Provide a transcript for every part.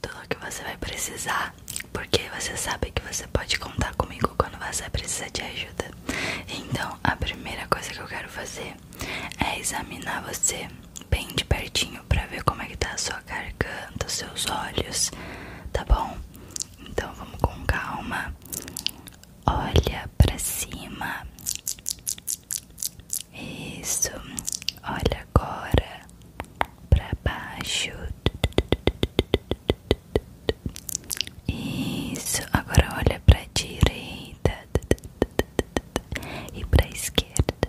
tudo o que você vai precisar, porque você sabe que você pode contar comigo quando você precisar de ajuda. Então, a primeira coisa que eu quero fazer é examinar você bem de pertinho para ver como é que tá a sua garganta, os seus olhos, tá bom? Então, vamos com calma. Olha para cima. Isso. Olha agora pra baixo. Isso. Agora olha para direita e para esquerda.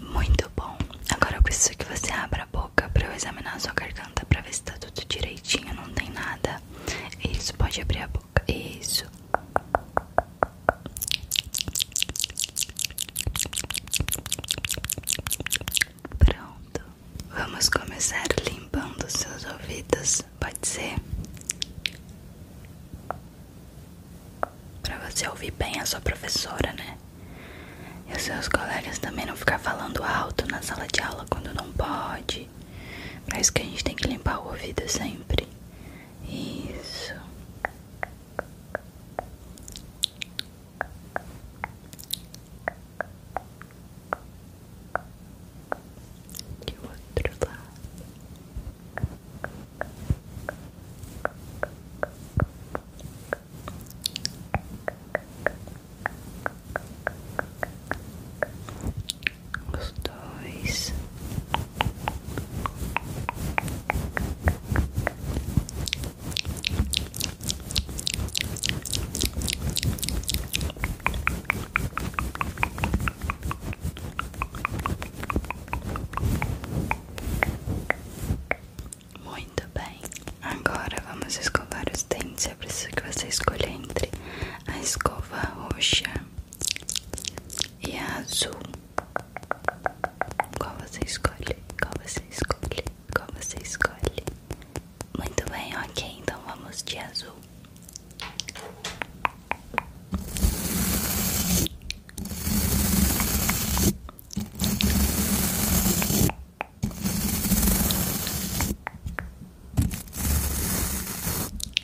Muito bom. Agora eu preciso que você abra a boca para eu examinar a sua garganta para ver se tá tudo direitinho, não tem nada. Isso, pode abrir a boca. Isso. Pronto, vamos começar limpando seus ouvidos, pode ser? Pra você ouvir bem a sua professora, né? E os seus colegas também não ficar falando alto na sala de aula quando não pode. Pra isso que a gente tem que limpar o ouvido sempre. Isso de outro lado. Os dois muito bem, agora vamos escovar os dentes. Eu é preciso que você escolha entre a escova roxa e a azul. Qual você escolhe? Qual você escolhe? Qual você escolhe? Muito bem, ok. Então vamos de azul.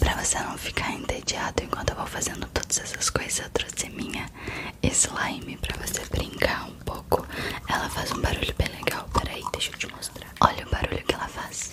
Pra você não ficar entediado enquanto eu vou fazendo todas essas coisas, eu trouxe minha slime pra você brincar um pouco. Ela faz um barulho bem legal. Peraí, deixa eu te mostrar. Olha o barulho que ela faz.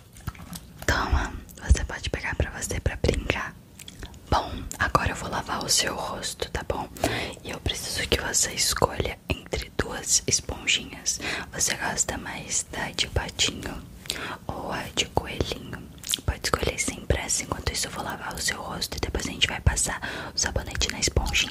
Toma, você pode pegar pra você pra brincar. Bom, agora eu vou lavar o seu rosto, tá bom? E eu preciso que você escolha entre duas esponjinhas. Você gosta mais da de patinho ou a de coelhinho? Pode escolher sem pressa. Enquanto isso, eu vou lavar o seu rosto e depois a gente vai passar o sabonete na esponjinha.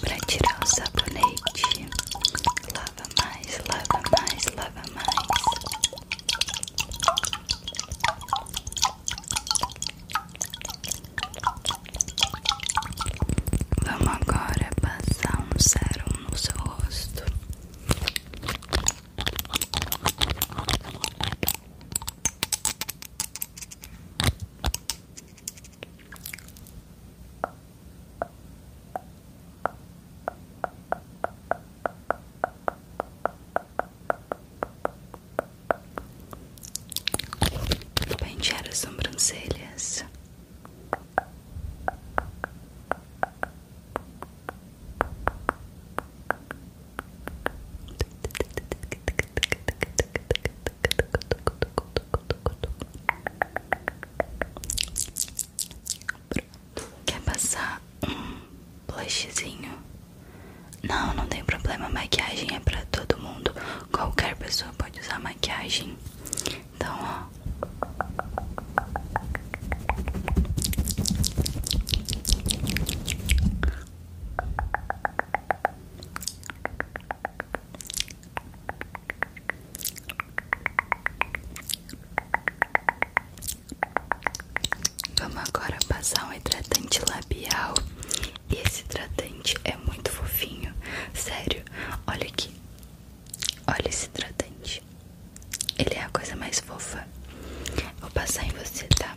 Para tirar o sabonete, lava mais, lava mais, lava mais. Vamos agora passar um sérum no seu rosto. Pentear as sobrancelhas. Quer passar um blushzinho? Não, não tem problema. Maquiagem é pra todo mundo. Qualquer pessoa pode usar maquiagem. Então, ó. Vamos agora passar um hidratante labial. E esse hidratante é muito fofinho. Sério, olha aqui. Olha esse hidratante. Ele é a coisa mais fofa. Vou passar em você, tá?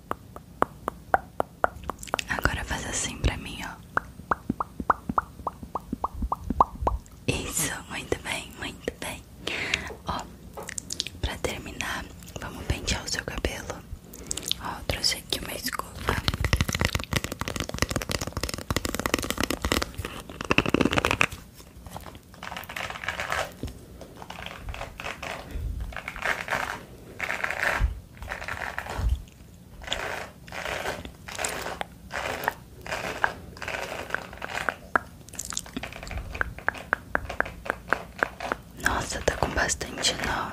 Agora faz assim pra mim, ó. Isso, muito bem, muito bem. Ó, pra terminar, vamos pentear o seu cabelo. Ó, trouxe aqui uma escova. Nossa, tá com bastante nó.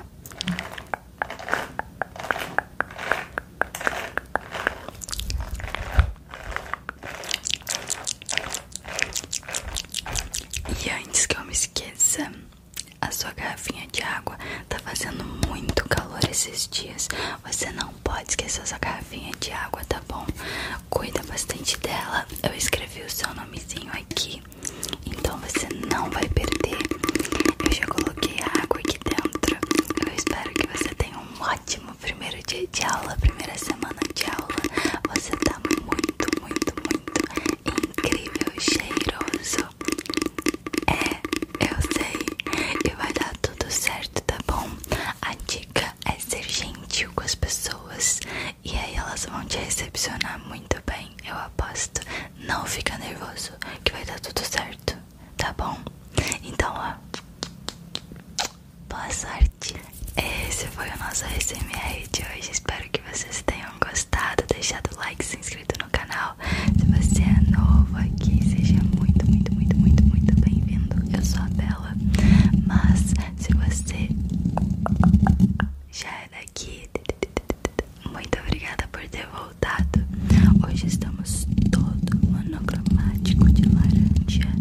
E antes que eu me esqueça, a sua garrafinha de água tá fazendo muito calor esses dias. Você não pode esquecer sua garrafinha de água, tá bom? Cuida bastante dela. Eu escrevi o seu nomezinho aqui, então você não vai perder. Eu já coloquei a água aqui dentro. Eu espero que você tenha um ótimo primeiro dia de aula, primeira semana de aula. Você tá muito, muito, muito incrível, cheiroso. É, eu sei, que vai dar tudo certo, tá bom? A dica é ser gentil com as pessoas e aí elas vão te recepcionar muito bem, eu aposto. Não fica nervoso, que vai dar tudo certo, tá bom? Então, ó, boa sorte. Esse foi o nosso ASMR de hoje. Espero que vocês tenham gostado. Deixado o like, se inscrito no canal. Se você é novo aqui, seja muito, muito, muito, muito, muito bem-vindo. Eu sou a Bela. Mas se você já é daqui, muito obrigada por ter voltado. Hoje estamos todo monocromático de laranja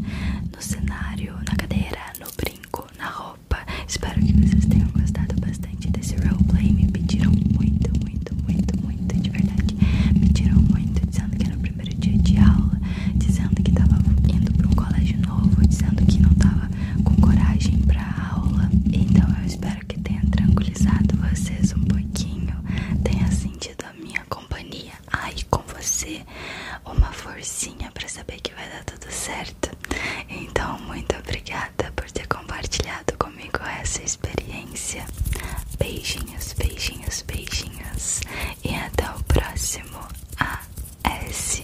no cenário, na cadeira, no brinco, na roupa. Espero que vocês tenham gostado bastante desse real play Me pediram muito, muito, muito, muito, de verdade. Me pediram muito, dizendo que era o primeiro dia de aula, dizendo que tava indo para um colégio novo, dizendo que não tava com coragem para aula. Então eu espero que tenha tranquilizado vocês um pouquinho, tenha sentido a minha companhia aí com você uma forcinha para saber que vai dar tudo certo. Então, muito obrigada por ter compartilhado comigo essa experiência. Beijinhos, beijinhos, beijinhos e até o próximo ASMR.